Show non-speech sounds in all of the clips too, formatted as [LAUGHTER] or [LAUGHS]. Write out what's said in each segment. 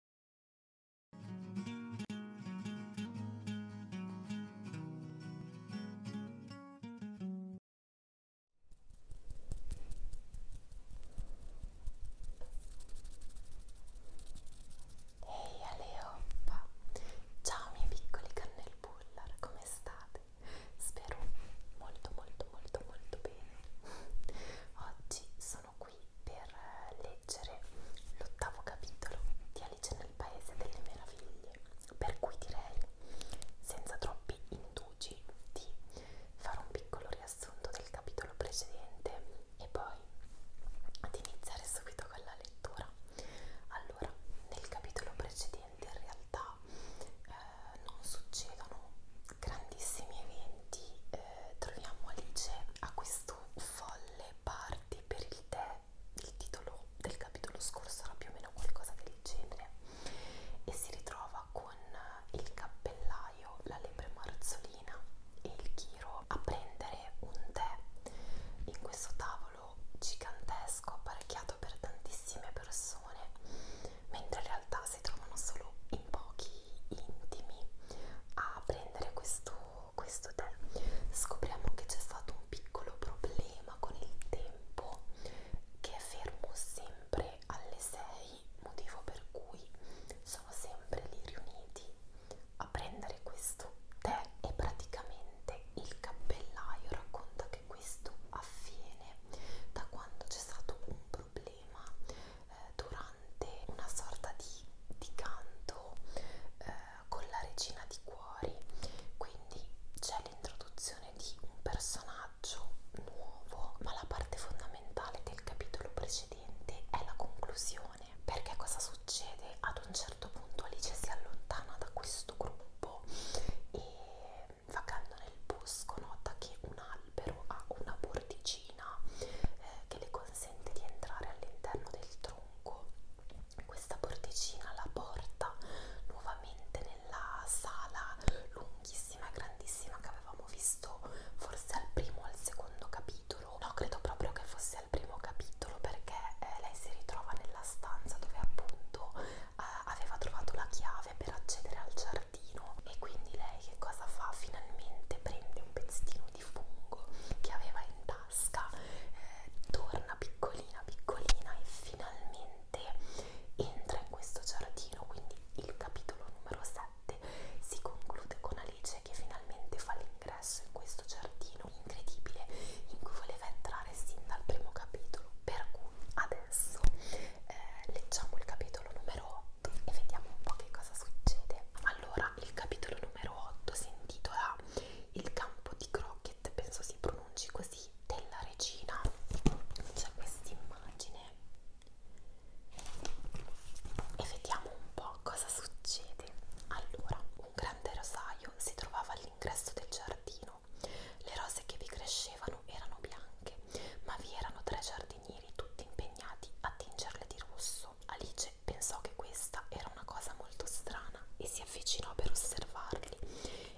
Ehi Aleoppa! Ciao miei piccoli cannel bullar, come state? Spero molto molto molto molto bene. [LAUGHS] Oggi sono sono qui per leggere l'ottavo capitolo di Alice nel Paese delle Meraviglie, per cui direi, senza troppi indugi, di fare un piccolo riassunto del capitolo precedente e poi ad iniziare subito con la lettura. Allora, nel capitolo precedente in realtà eh, non succedono grandissimi eventi eh, eh, troviamo Alice a questo folle party per il tè, il titolo del capitolo scorso era più o meno qualcosa del genere, e si ritrova con il cappellaio, la lepre marzolina e il chiro a prendere un tè in questo tavolo gigantesco apparecchiato per tantissime persone, mentre in realtà si trovano solo in pochi intimi a prendere questo, questo tè scopriamo che c'è stato un piccolo problema con il tempo che è fermo sempre alle 6 motivo per cui sono sempre lì riuniti a prendere questo tè e praticamente il cappellaio racconta che questo avviene da quando c'è stato un problema eh, durante cantante, una sorta di, di canto eh, con la regina di cuori, quindi c'è l'introduzione di un personaggio nuovo, ma la parte fondamentale del capitolo precedente è la conclusione, perché cosa succede? Ad un certo punto Alice si allontana da questo gruppo e vagando nel bosco nota che una l'albero ha una porticina eh, che le consente di entrare all'interno del tronco. Questa porticina la porta nuovamente nella sala lunghissima e grandissima che avevamo visto forse al primo o al secondo capitolo. No, credo proprio che fosse al primo capitolo perché eh, lei si ritrova nella stanza dove appunto eh, aveva trovato la chiave per accedere al giardino giardino e quindi lei che cosa fa? Finalmente prende un pezzettino di fungo che aveva in tasca, eh, torna piccolina piccolina e finalmente entra in questo giardino, quindi il capitolo numero 7 si conclude con Alice che finalmente fa l'ingresso in questo giardino incredibile in cui voleva entrare sin dal primo capitolo per cui adesso eh, leggiamo il capitolo numero 8 e vediamo un po' che cosa succede. Allora, il capitolo numero 8 si intitola Il campo di Crockett, penso si pronunci così, della regina. C'è questa immagine e vediamo un po' cosa succede. Allora, un grande rosaio si trovava all'ingresso del giardino. Le rose che vi crescevano erano bianche, ma vi erano tre giardini giardinieri tutti impegnati a tingerle di rosso. Alice pensò che questa era una cosa molto strana e si avvicinò per osservarli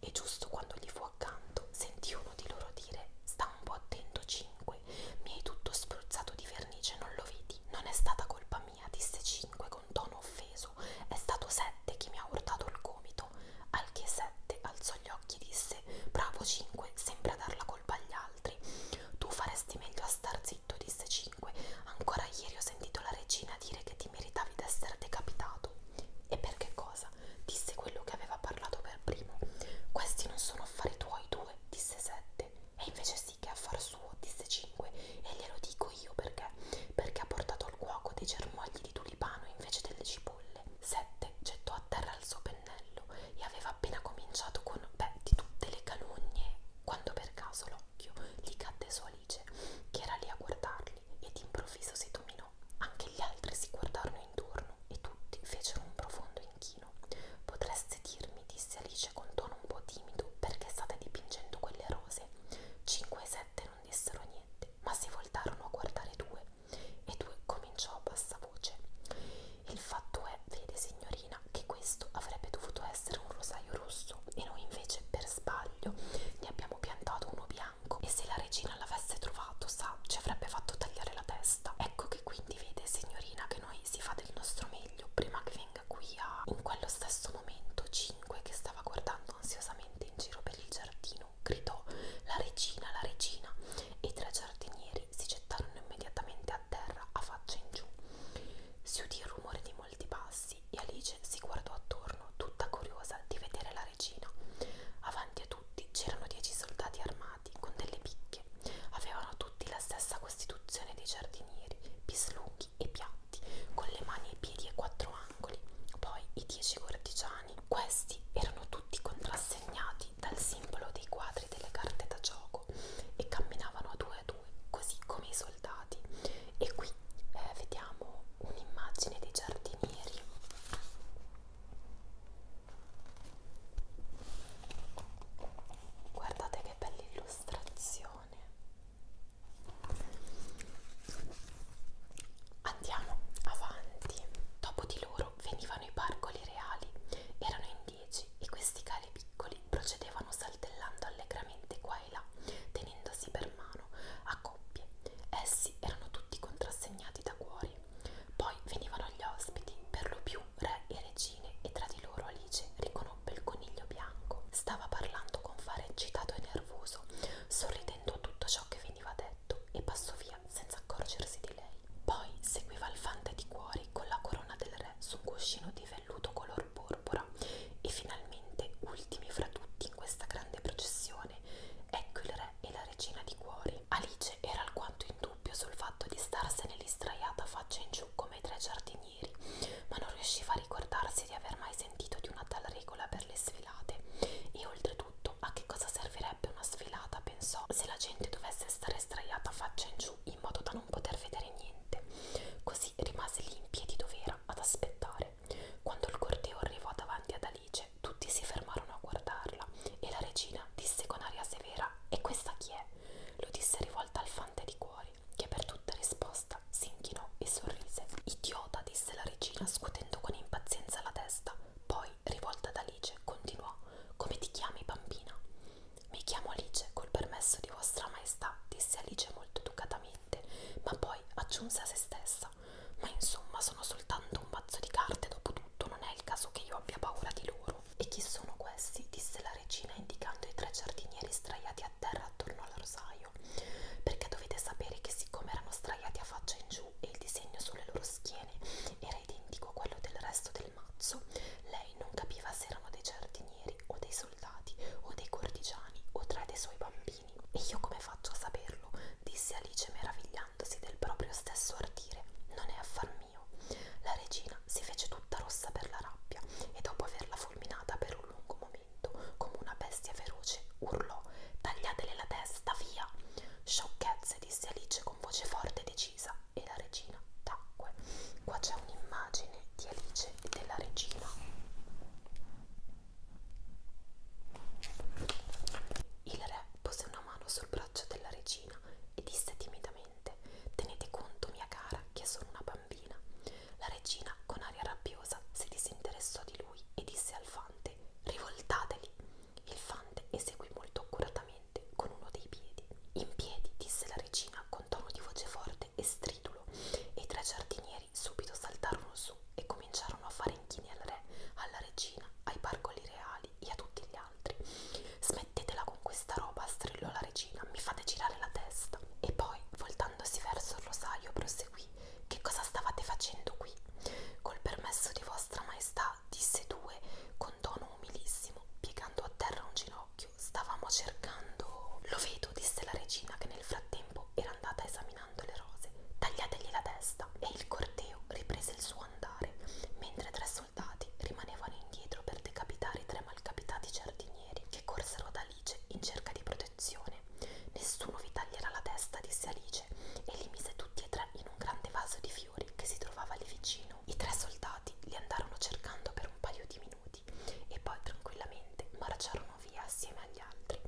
e giusto quando gli fu accanto sentì uno di loro dire «Sta un po' attento, 5, mi hai tutto spruzzato di vernice, non lo vedi? Non è stata colpa mia», disse 5 con tono offeso, «è stato 7 che mi ha urtato il gomito». Al che 7 alzò gli occhi e disse disse bravo 5 sembra dar la colpa agli altri tu faresti meglio a star zitto disse 5 ancora ieri ho sentito la regina dire che ti meritavi d'essere decapitato e per che cosa disse quello che aveva parlato per primo questi non sono affari tuoi due disse 7 e invece sì che è affar suo disse 5 e glielo dico io perché perché ha portato al cuoco dei germogli di tulipano invece delle cipolle 7 gettò a terra il suo pennello e aveva appena cominciato con beh, di tutte le calugne quando per caso l'occhio gli cadde su Alice, che era lì a guardarli, e d'improvviso si dominò. Anche gli altri si guardarono intorno e tutti fecero un profondo inchino. Potreste dirmi, disse Alice con tono un po' timido, perché state dipingendo quelle rose? Cinque e sette non dissero niente, ma si voltarono a guardare due e due cominciò a bassa voce. Il fatto è, vede signorina, che questo avrebbe dovuto essere un rosaio rosso e noi invece per sbaglio ne abbiamo piantato uno bianco e se la regina l'avesse trovato, sa, ci avrebbe fatto tagliare la testa. Ecco che quindi vede signorina che noi si fa del nostro meglio prima che venga qui a... In quello stesso momento Cinque che stava guardando ansiosamente in giro per il giardino Poseidon gridò la regina, la regina e i tre giardinieri si gettarono immediatamente a terra a faccia in giù. Si udì il rumore di molti passi e Alice si guardò attorno, tutta curiosa di vedere la regina. Avanti a tutti c'erano dieci soldati armati con delle picche. Avevano tutti la stessa costituzione dei giardinieri, pislunghi e piatti, con le mani, i piedi e quattro angoli. Poi i dieci cortigiani italiani. Questi erano tutti contrassegnati dal simbolo dei quadri delle carte da gioco e camminavano a due a due, così come i soldati. E qui eh, vediamo un'immagine dei giardinieri. Guardate che bella illustrazione. Andiamo avanti. Dopo di loro loro venivano i pargoli reali, erano in dieci e questi cari piccoli procedevano saltellando allegramente qua e là, tenendosi per mano, a coppie. Essi erano tutti contrassegnati da cuori. Poi venivano gli ospiti, per lo più re e regine, e tra di loro Alice riconobbe il coniglio bianco. Stava parlando con fare eccitato e nervoso, sorridendo a tutto ciò che veniva detto, e passò via via senza accorgersi di lei. Poi seguiva il fante di cuori con la corona del re su un cuscino di velluto color porpora e finalmente, ultimi fra tutti in questa grande processione, ecco il re e la regina di cuori. Alice era alquanto in dubbio sul fatto di starsene lì straiata faccia in giù come i tre giardinieri, ma non riusciva a ricordarsi di aver mai sentito di una tal regola per le sfilate e oltretutto tutto, a che cosa servirebbe una sfilata, pensò, se la gente dovesse stare straiata faccia in giù in modo da non poter vedere niente. Così rimase lì in piedi dov'era ad aspettare. Quando il corteo arrivò davanti ad Alice, tutti si fermarono a guardarla e la regina disse con aria severa: E questa chi è? Lo disse rivolta al fante di cuori, che per tutta risposta si inchinò e sorrise. Idiota, disse la regina, scuotendo con impazienza la testa. Poi, rivolta ad Alice, continuò: Come ti chiami, bambina? Mi chiamo Alice, col permesso di vostra maestà, disse Alice molto educatamente, ma poi aggiunse a se stessa: Ma insomma, sono soltanto un mazzo di carte, dopo tutto, non è il caso che io abbia paura di loro. E chi sono questi? disse la regina, indicando i tre giardinieri straiati a terra attorno al rosaio. Perché dovete sapere che, siccome erano straiati a faccia in giù e il disegno sulle loro schiene era identico a quello del resto del mazzo, lei non capiva se erano dei giardinieri o dei soldati o dei cortigiani o tre dei suoi bambini. E io come faccio a saperlo? disse Alice meravigliandosi del proprio stesso ardire. Non è affar mio. La regina si fece tutta rossa per la rabbia e dopo averla fulminata per un lungo momento, come una bestia feroce, urlò tagliatele la testa, via. Sciocchezze, disse Alice con voce forte e decisa, e la regina tacque. Qua c'è un'immagine di Alice e della regina. Il re pose una mano sul braccio della regina e disse timidamente: Tenete conto, mia cara, che sono una bambina. La regina, con aria rabbiosa, si disinteressò di lui e disse al fante: Rivoltateli. Il fante eseguì molto accuratamente con uno dei piedi. In piedi, disse la regina con tono di voce forte e stridulo, e i tre giardinieri subito saltarono su e cominciarono a fare inchini al re, alla regina, ai parcoli reali e a tutti gli altri. Smettetela con questa roba, strillò la regina, mi fate girare la testa. E poi, voltandosi verso il rosaio, proseguì voi che cosa stavate facendo qui. Col permesso di vostra maestà, disse due, con tono umilissimo, piegando a terra un ginocchio, stavamo cercando. Lo vedo, disse la regina, che nel frattempo era andata esaminando le rose. Tagliategli la testa. E il corteo riprese il suo andare, mentre tre soldati rimanevano indietro per decapitare i tre malcapitati giardinieri che corsero ad Alice in cerca di protezione protezione. Nessuno vi taglierà la testa, disse Alice, e li mise tutti e tre in un grande vaso di fiori che si trovava lì vicino. I tre soldati li andarono cercando per un paio di minuti e poi tranquillamente marciarono via assieme agli altri.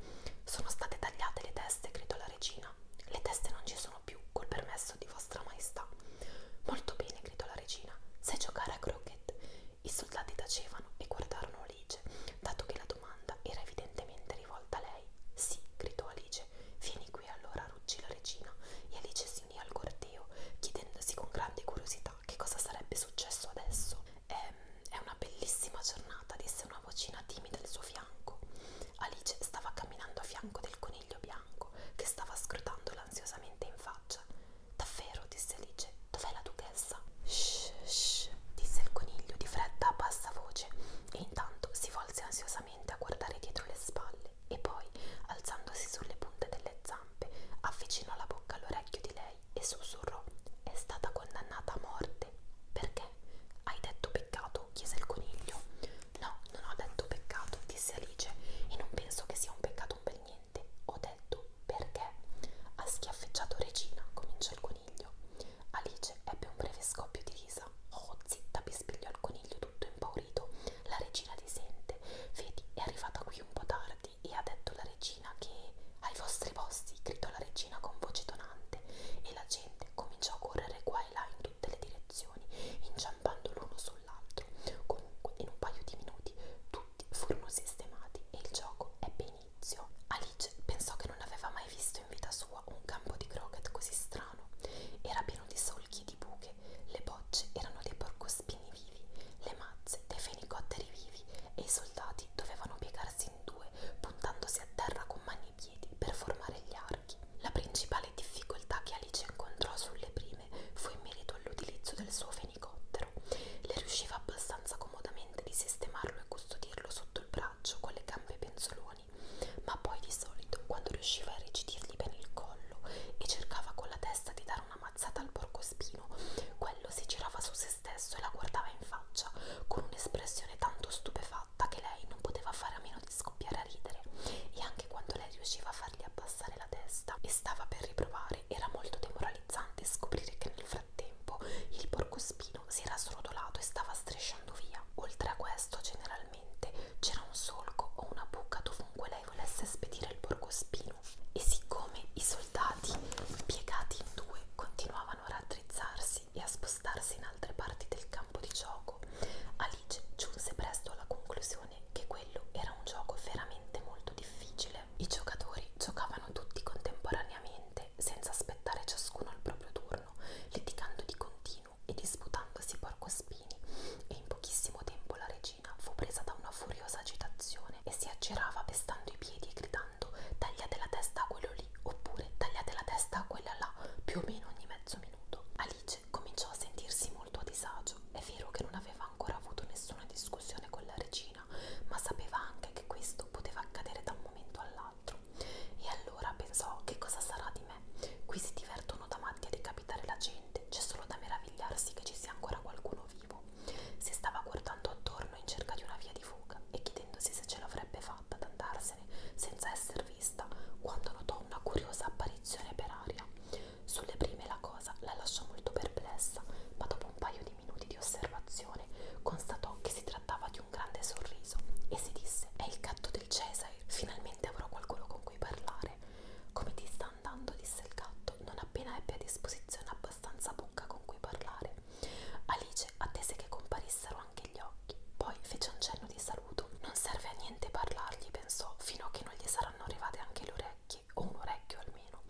Sono state tagliate le teste, gridò la regina. Le teste non ci sono più, col permesso di vostra maestà. Molto bene, gridò la regina. Sai giocare a croquet? I soldati tacevano e guardarono lì Alice, dato che la domanda era evidentemente rivolta a lei. Sì, gridò Alice, vieni qui allora, ruggì la regina, e Alice si unì al corteo, chiedendosi con grande curiosità che cosa sarebbe successo adesso. Ehm, è una bellissima giornata, disse una vocina timida al suo fianco. Alice stava camminando a fianco del coniglio bianco, che stava scrutandola ansiosamente in faccia. Davvero, disse Alice, Dov'è la duchessa? Shh, shh, disse il coniglio di fretta a bassa voce e intanto si volse ansiosamente a guardare dietro le spalle e poi, alzandosi sulle punte delle zampe, avvicinò la bocca all'orecchio di lei e sussurrò: È stata condannata a morte. Perché? Hai detto peccato? chiese il coniglio. No, non ho detto peccato, disse Alice, e non penso che sia un peccato un bel niente. Ho detto perché? Ha schiaffeggiato Regina, cominciò il coniglio coniglio. Alice ebbe un breve scoppio di risa. Oh, zitta, bisbigliò il coniglio tutto impaurito. La regina ti sente. Vedi, è arrivata qui un po' tardi e ha detto la regina che... Ai vostri posti, gridò la regina con voce tonante e la gente cominciò a correre qua e là in tutte le direzioni, inciampando l'uno sull'altro. Comunque, in un paio di minuti tutti furono sistemati e il gioco ebbe inizio all'inizio. Alice pensò che non aveva mai visto in vita sua un campo di croquet così strano. Era pieno di solchi e di buche, le bocce erano dei porcospini vivi, le mazze dei fenicotteri vivi e i soldati dovevano piegarsi in due puntandosi a terra con mani e piedi per formare gli archi. La principale difficoltà che Alice incontrò sulle prime fu in merito all'utilizzo del suo fenicottero. Le riusciva abbastanza comodamente di sistemarlo come custodirlo sotto il braccio con le gambe penzoloni, ma poi di solito, quando riusciva a irrigidirgli bene il collo e cercava con la testa di dare una mazzata al porcospino, quello si girava su se stesso e la guardava in faccia con un'espressione tanto stupefatta che lei non poteva fare a meno di scoppiare a ridere. E anche quando lei riusciva a fargli abbassare la testa e stava per riprovare, era molto demoralizzante scoprire che nel frattempo frattempo il porcospino si era srotolato e stava strisciando via. Oltre a questo, generalmente c'era un solco o una buca dovunque lei volesse spedire il porcospino. E siccome i soldati, piegati in due, continuavano a raddrizzarsi e a spostarsi in altre parti del campo di gioco, Alice giunse presto alla conclusione che quello era un gioco veramente molto difficile facile, i giocatori giocavano tutti contemporaneamente senza aspettare ciascuno il proprio turno, litigando di continuo e disputandosi porcospini e in pochissimo tempo la regina fu presa da una furiosa agitazione e si aggirava pestando i piedi e gridando tagliate la testa a quello lì oppure tagliate la testa a quella là più o meno ogni mezzo minuto. Alice cominciò a sentirsi molto a disagio, è vero che non aveva ancora avuto nessuna discussione con la regina cucina, ma sapeva anche che questo poteva accadere da un momento all'altro. E allora pensò: che cosa sarà di me? Qui si divertono da matti a decapitare la gente, c'è solo da meravigliarsi che ci sia ancora qualcuno vivo. Si stava guardando attorno in cerca di una via di fuga e chiedendosi se ce l'avrebbe fatta ad andarsene senza essere vista, quando notò una curiosa apparizione per aria. Sulle prime la cosa la lasciò molto perplessa, ma dopo un paio brevissimi minuti di osservazione constatò che si trattava di un grande sorriso e si disse è il gatto del Cesare, finalmente avrò qualcuno con cui parlare. Come ti sta andando? disse il gatto, non appena ebbe a disposizione abbastanza bocca con cui parlare. Alice attese che comparissero anche gli occhi, poi fece un cenno di saluto. Non serve a niente parlargli, pensò, fino a che non gli saranno arrivate anche le orecchie orecchie, o un orecchio almeno.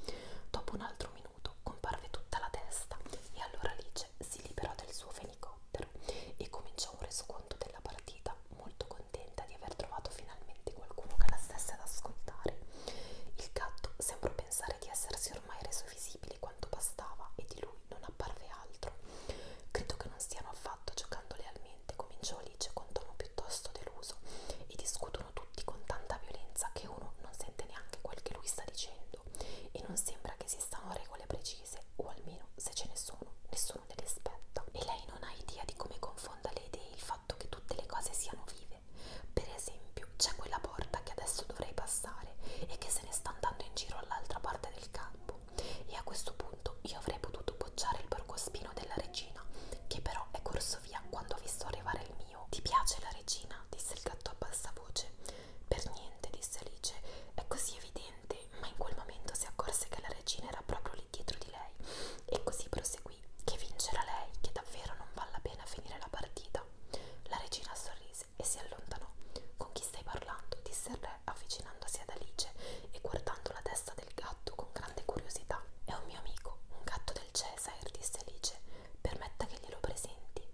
Dopo un altro minuto comparve tutta la testa e allora Alice si liberò del suo fenicottero e cominciò un resoconto della partita, molto contenta di aver trovato finalmente qualcuno che la stesse ad ascoltare. Il gatto sembrò pensare di essersi ormai reso visibile quanto bastava e di lui non apparve altro. Credo che non stiano affatto giocando lealmente, cominciò Alice con tono piuttosto deluso e discuto discutono tutti con tanta violenza che uno non sente neanche quel che lui sta dicendo e non sembra che esistano regole precise o almeno se ce ne sono nessuno le rispetta e lei non ha idea di come confonda le idee il fatto che tutte le cose siano vive per esempio c'è quella porta che adesso dovrei passare e che se ne sta andando in giro all'altra parte del campo e a questo punto io avrei potuto bocciare il porcospino della regina che però è corso via quando ho visto arrivare il mio. Ti piace la regina? disse il gatto a bassa voce. Per niente, disse Alice. È così evidente, ma in quel momento si accorse che la regina era proprio lì dietro di lei. E così proseguì, che vincerà lei, che davvero non vale la pena finire la partita. La regina sorrise e si allontanò. Con chi stai parlando? disse il re, avvicinandosi ad Alice e guardando la testa del gatto con grande curiosità. È un mio amico, un gatto del cielo sorpresa e disse Alice Permetta che glielo presenti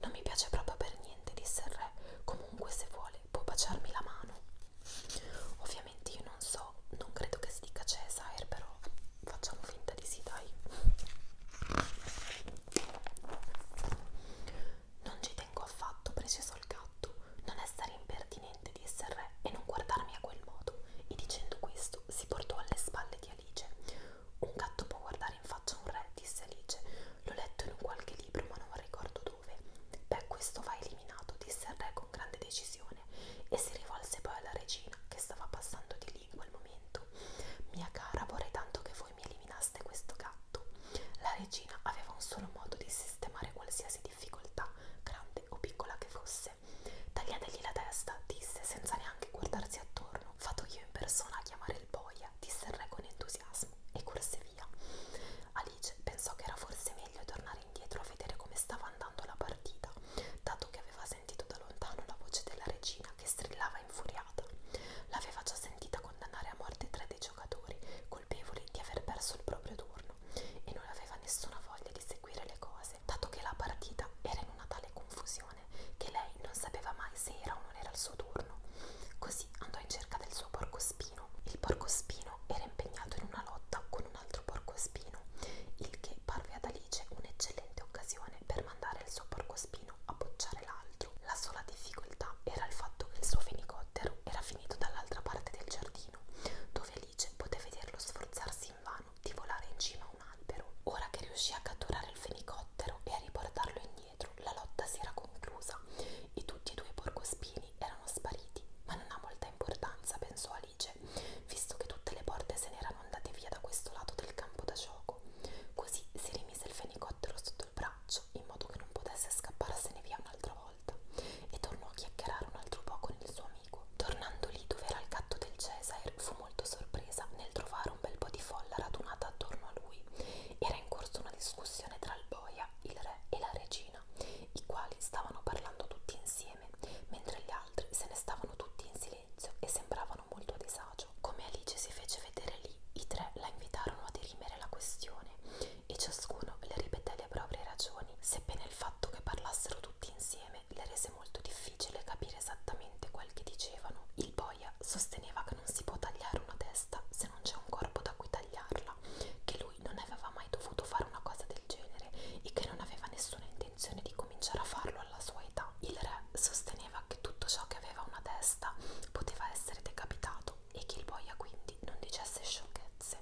Non mi piace proprio per niente, disse il re Comunque se vuole può baciarmi la mano Ovviamente io non so, non credo che si dica Caesar però facciamo finta di sì dai Non ci tengo affatto, precisò il gatto Non essere impertinente, disse il re E non guardarmi a quel modo E dicendo questo questo si portò alle spalle di Alice. Un gatto può guardare in faccia un re, disse Alice. L'ho letto in un qualche libro, ma non ricordo dove. Beh, questo va eliminato, disse il re con grande decisione, e si rivolse poi alla regina, che stava passando di lì in quel momento. Mia cara, vorrei tanto che voi mi eliminaste questo gatto. La regina aveva un solo modo di sistemare qualsiasi difficoltà, grande o piccola che fosse disse. Tagliategli la testa, disse, senza neanche guardarsi attorno. Vado io in persona a chiamare il boia, disse il re con entusiasmo, e corse via. Alice pensò che era forse meglio tornare indietro a vedere come stava andando la partita, dato che aveva sentito da lontano la voce della regina che strillava infuriata. L'aveva già sentita condannare a morte tre dei giocatori, colpevoli di aver perso il proprio turno, e non aveva nessuna voglia di seguire le cose mese, dato che la partita era in una tale confusione che lei non sapeva mai se era o non era il suo turno. Così andò in cerca del suo porcospino. Il porcospino era impegnato in una lotta con un altro porcospino, il che parve ad Alice un'eccellente occasione per mandare il suo porcospino a bocciare l'altro. La sola difficoltà era il fatto che il suo fenicottero era finito dall'altra parte del giardino, dove felice poté vederlo sforzarsi invano di volare in cima a un albero. Ora che riuscì a catturare il fenicottero e a riportarlo indietro, la lotta si era conclusa e tutti e due i porcospini erano spariti, ma non ha molta importanza, pensò Alice, visto che tutte le porte se n'erano andate via da questo lato del campo da gioco. Così si rimise il fenicottero sotto il braccio, in modo che non potesse scapparsene via un'altra volta, e tornò a chiacchierare un altro po' con il suo amico. Tornando lì dove era il gatto del Cesare, fu molto sorpresa nel trovare un bel po' di folla radunata attorno a lui. Era in corso una discussione tra il boia, il re e la regina, i quali stavano parlando tutti insieme, mentre gli altri se ne stavano tutti in silenzio e sembravano molto a disagio. Come Alice si fece vedere lì, i tre la invitarono a dirimere la questione e ciascuno le ripeté le proprie ragioni, sebbene il fatto che parlassero tutti insieme insieme le rese molto difficile capire esattamente quel che dicevano. Il boia sosteneva che non si può tagliare una testa se non c'è un corpo da cui tagliarla, che lui non aveva mai dovuto fare una cosa del genere e che non aveva nessuna intenzione di cominciare a farlo alla sua età. Il re sosteneva che tutto ciò che aveva una testa poteva essere decapitato e che il boia quindi non dicesse sciocchezze certezze.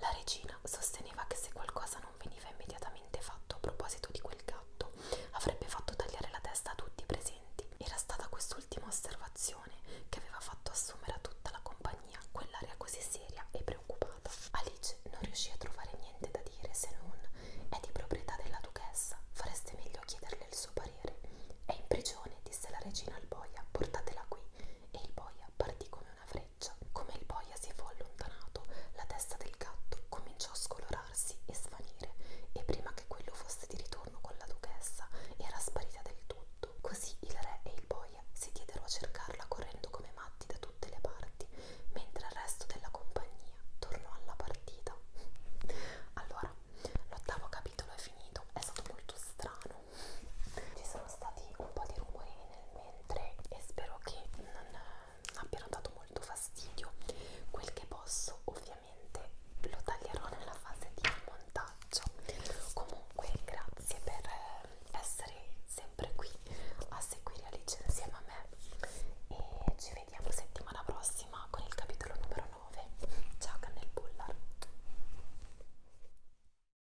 La regina sosteneva che se qualcosa non veniva immediatamente fatto a proposito di quel gatto, avrebbe fatto tagliare la testa a tutti i presenti. Era stata quest'ultima osservazione che aveva fatto assumere a tutta la compagnia quell'aria così seria e preoccupata. Alice non riuscì a trovare niente da dire se non è di proprietà della duchessa, fareste meglio a chiederle il suo parere. È in prigione, disse la regina al boia, portatela qui. E il boia partì come una treccia. Come il boia si fu allontanato, la testa del gatto cominciò a scolorarsi e svanire, e prima che quello fosse di ritorno con la duchessa, era sparita del tutto. Così il re e il boia si diedero a cercarla correndo come matti da tutte le parti, mentre il resto della compagnia tornò alla partita. [LAUGHS] Allora, l'ottavo capitolo è finito, è stato molto strano, ci sono stati un po' di rumorini nel mentre e spero che non abbiano dato molto fastidio. Quel che posso ovviamente lo taglierò nella fase di montaggio. Comunque grazie per eh, essere sempre qui a seguire Alice insieme a me e ci vediamo settimana prossima con il capitolo numero 9. Ciao Cannel Bullar!